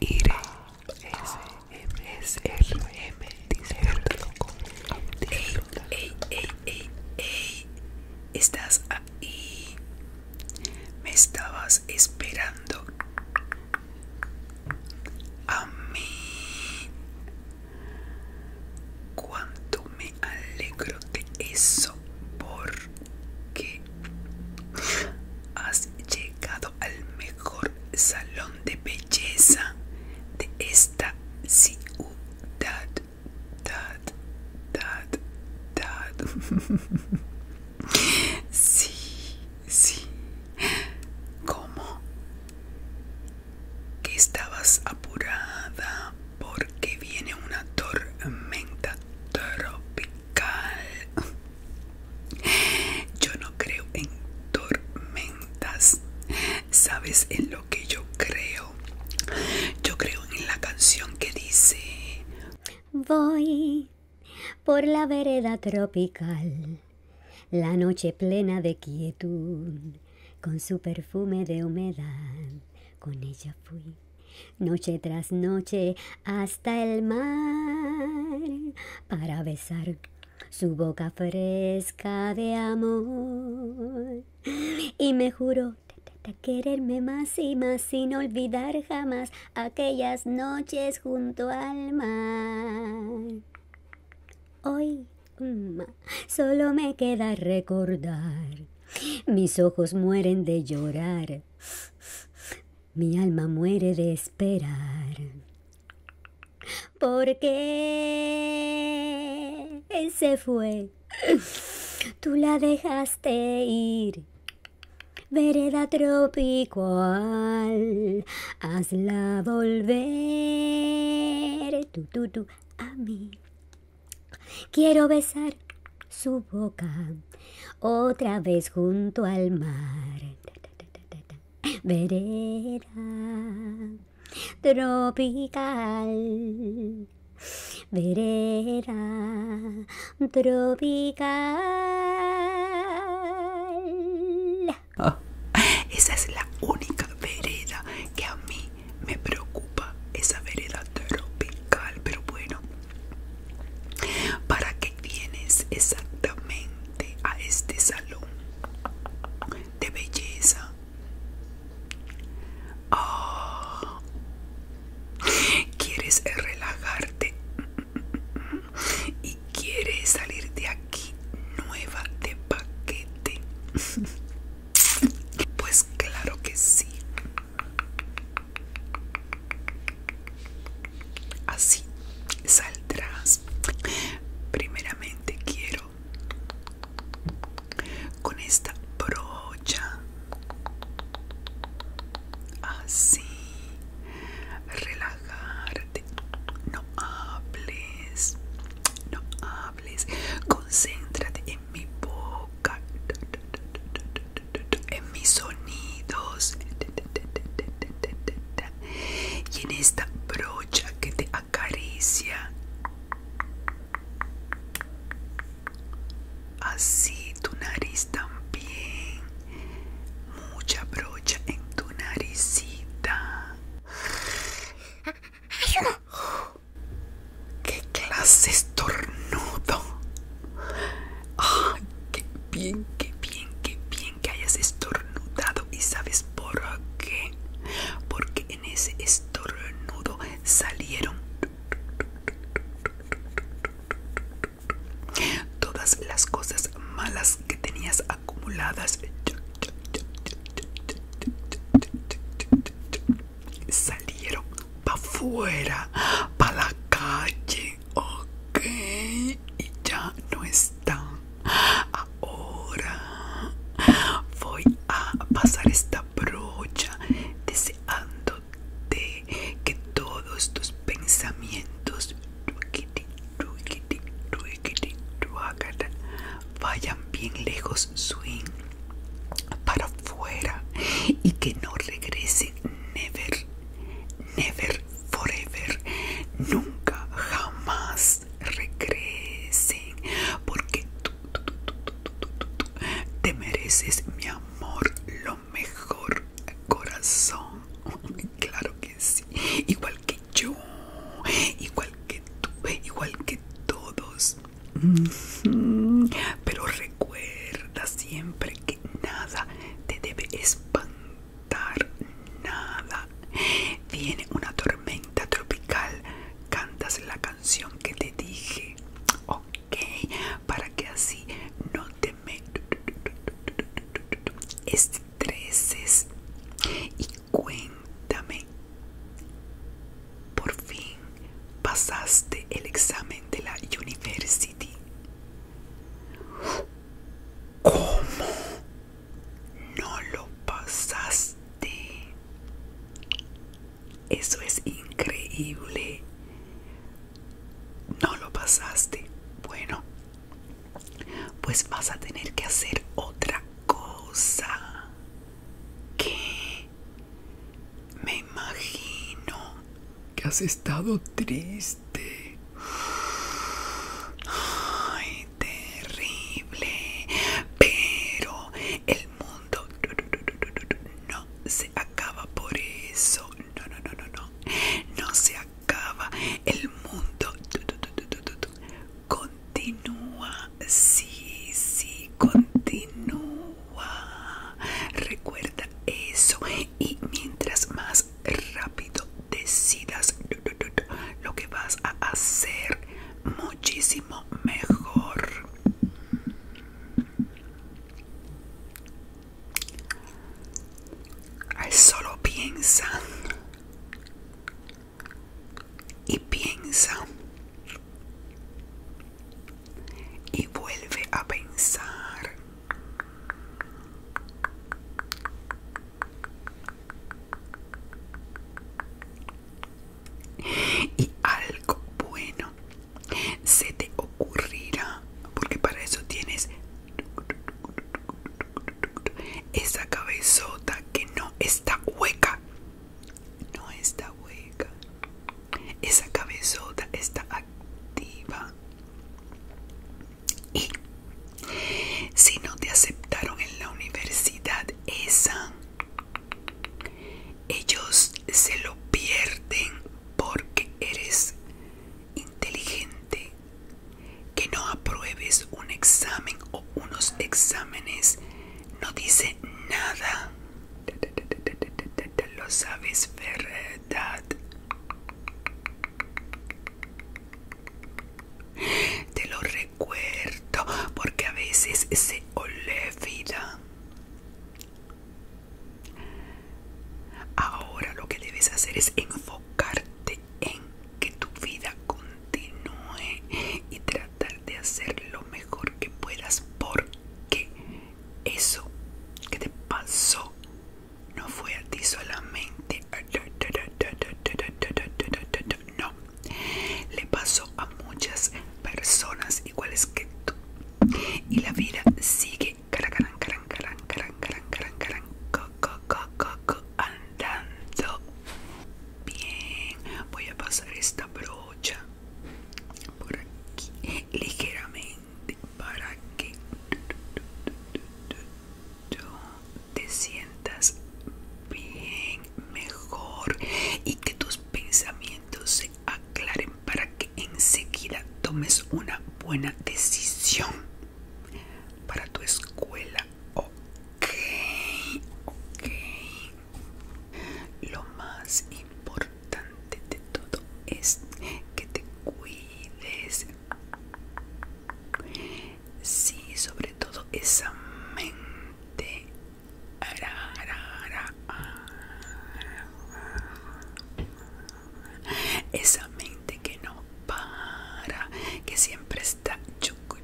S R M Dice, con Ey, ey, ey, ey, estás ahí. Me estabas esperando. A mí. Cuánto me alegro de eso por que has llegado al mejor salón de belleza de esta ciudad. Dad, dad, dad. sí, sí. ¿Cómo? Que estabas apurada porque viene una tormenta tropical. Yo no creo en tormentas. ¿Sabes en lo que yo creo? Yo creo en la canción que dice... Voy por la vereda tropical, la noche plena de quietud, con su perfume de humedad, con ella fui. Noche tras noche hasta el mar para besar su boca fresca de amor. Y me juró quererme más y más sin olvidar jamás aquellas noches junto al mar. Hoy solo me queda recordar, mis ojos mueren de llorar mi alma muere de esperar. ¿por Porque se fue. Tú la dejaste ir. Vereda tropical, hazla volver. Tú, tú, tú, a mí. Quiero besar su boca otra vez junto al mar. Vereda tropical. Vereda tropical. Ah, esa es la única vereda que a mí me preocupa, esa vereda tropical. Pero bueno, ¿Para qué vienes exactamente a este salón de belleza? Oh, ¿Quieres relajarte? ¿Y quieres salir de aquí nueva de paquete? Pues claro que sí. Así saldrás. Primeramente quiero con esta brocha. Así. Relajarte. No hables. No hables. Concéntrate en mi boca en mis sonidos y en esta brocha que te acaricia así tu nariz también mucha brocha en tu naricita ¡Qué clase estornudo! ¡Qué bien, qué bien, qué bien que hayas estornudado! ¿Y sabes por qué? Porque en ese estornudo salieron todas las cosas malas que tenías acumuladas salieron para fuera, para la calle, ok, y ya no están. Ahora voy a pasar esta brocha deseándote que todos tus pensamientos vayan bien lejos, swing para afuera y que no regrese never, never, forever, nunca, jamás regresen porque tú, tú te mereces mi amor, lo mejor, corazón, claro que sí, igual que yo, igual que tú, igual que todos pero recuerda siempre que nada te debe espantar, nada. Viene una tormenta tropical, cantas la canción que te dije, ok, para que así no te me estreses. Y cuéntame por fin pasaste el examen de la university. ¿Cómo? No lo pasaste. Eso es increíble. No lo pasaste. Bueno, pues vas a tener que hacer otra cosa. ¿Qué? Me imagino que has estado triste. Ay, terrible. Pero el mundo no se acaba por eso. No, no, no, no, no. No se acaba. El mundo continúa sí, sí, continúa. Recuerda eso y mientras más rápido decidas lo que vas a hacer, muchísimo mejor. Solo piensa y piensa y vuelve a pensar y algo bueno se te ocurrirá porque para eso tienes esa cabezota que no está hueca no está hueca. Esa cabezota está activa. Y si no te aceptaron en la universidad esa, ellos se lo pierden porque eres inteligente. Que no apruebes un examen o unos exámenes no dice nada. te Lo sabes, verdad. Te lo recuerdo porque a veces se olvida. Ahora lo que debes hacer es enfocarte en que tu vida continúe y tratar de hacer lo mejor que puedas porque eso que te pasó no fue a ti solamente. No, le pasó a muchas personas iguales que tú. Y la vida sigue andando bien voy a pasar esta brocha por aquí ligeramente para que te sientas bien mejor y que tus pensamientos se aclaren para que enseguida tomes una buena decisión para tu escuela ok ok lo más importante de todo es que te cuides. Sí, sobre todo esa mente. Esa mente que no para, que siempre está choco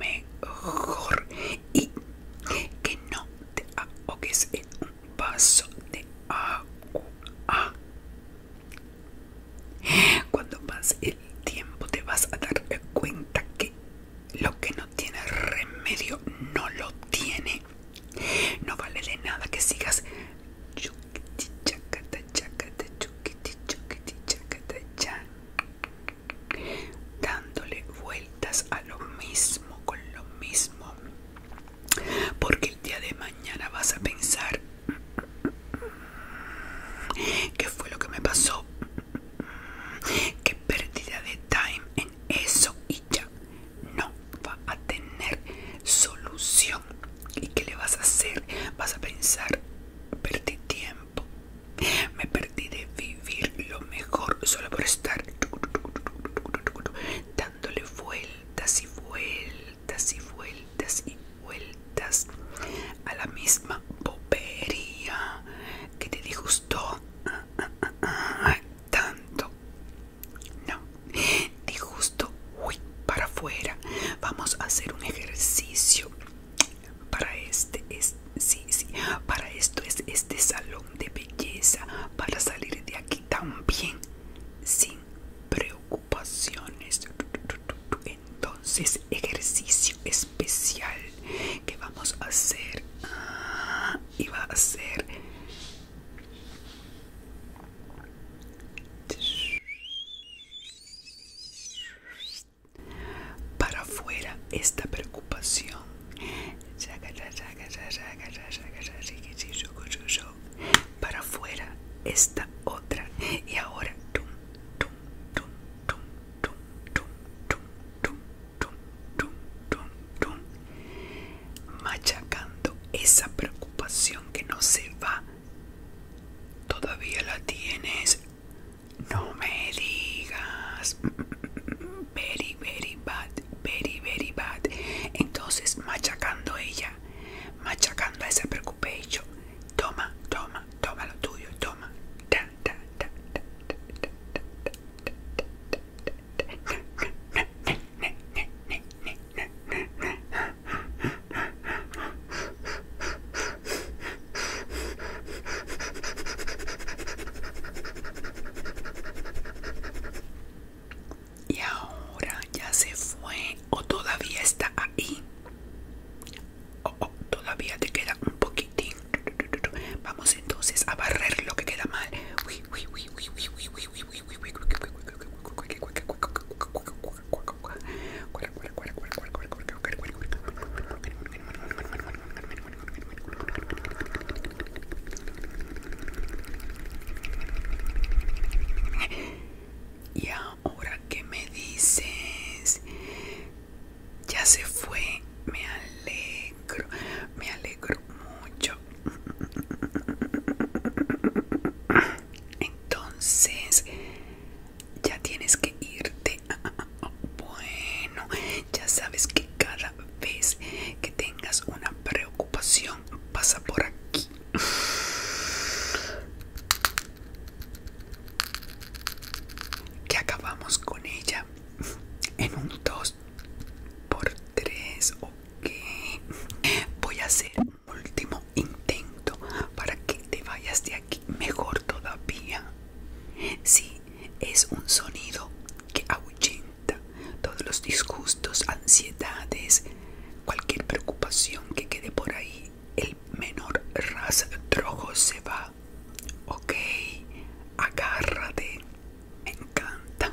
mejor y que no te ahogues en un vaso de agua. Cuando pase el tiempo te vas a dar cuenta que lo que no tiene remedio no lo tiene. No vale de nada que sigas chuquiti chacata chacata chuquiti chuquiti chacata dándole vueltas a lo mismo, con lo mismo, porque el día de mañana vas a pensar, ¿qué fue lo que me pasó? ¿Qué pérdida de time en eso? Y ya no va a tener solución. ¿Y qué le vas a hacer? Vas a pensar, perdí tiempo me perdí de vivir lo mejor solo por estar dándole vueltas y vueltas y vueltas y vueltas a la misma popería que te disgustó ah, ah, ah, tanto. No, disgusto, uy, para afuera. Vamos a hacer un ejercicio para este es sí, sí, para esto es este salón de belleza para salir de aquí también sin preocupaciones. Entonces, ejercicio especial que vamos a hacer ah, y va a ser para afuera esta preocupación para afuera esta otra y ahora machacando esa preocupación que no se va ¿Todavía la tienes? No me digas. Very, very bad, very, very bad. Entonces, machacando ella, machacando a esa Toma, toma, toma lo tuyo, toma. Y ahora ya se fue o todavía está ahí. O todavía te queda un poquitín. Vamos entonces a barrer lo que queda mal. Y ahora que me dices, ya se fue, me alegro, me alegro mucho entonces ya tienes que irte ah, ah, ah, bueno ya sabes que cada vez que tengas una preocupación pasa por aquí que acabamos con ella en un 2 por 3 qué? voy a hacer último intento para que te vayas de aquí mejor todavía. Sí, es un sonido que ahuyenta todos los disgustos, ansiedades, cualquier preocupación que quede por ahí. El menor rastrojo se va. Ok, agárrate. Me encanta.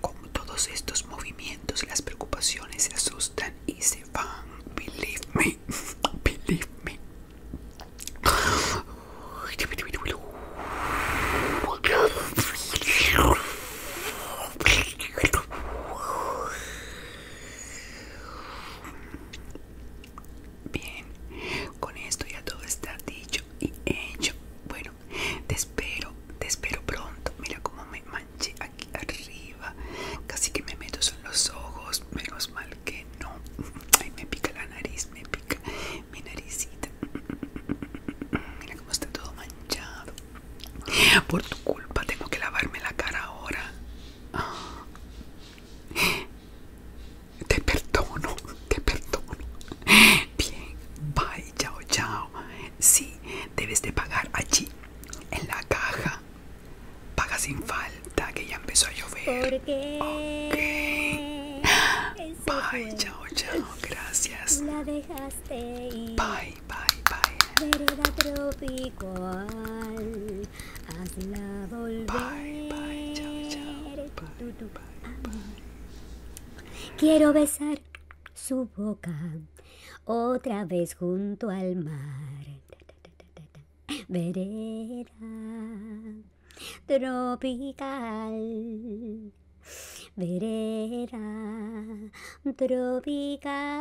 Con todos estos movimientos, las preocupaciones se asustan y se van. Believe me, believe me. Bien, con esto ya todo está dicho y hecho. Bueno, te espero, te espero pronto. Mira cómo me manché aquí arriba. Casi que me meto son los ojos. Menos mal que no. Ay, me pica la nariz, me pica mi naricita. Mira cómo está todo manchado. Por tu culpa tengo que lavarme la cara ahora. Ah. Te perdono, te perdono. Bien, bye, chao, chao. Sí, debes de pagar allí, en la caja. Paga sin falta, que ya empezó a llover. Ok. Bye, chao, chao. Gracias. La Bye, bye, bye. Vereda tropical hazla volver. Quiero besar su boca otra vez junto al mar. Vereda tropical. Vereda tropical.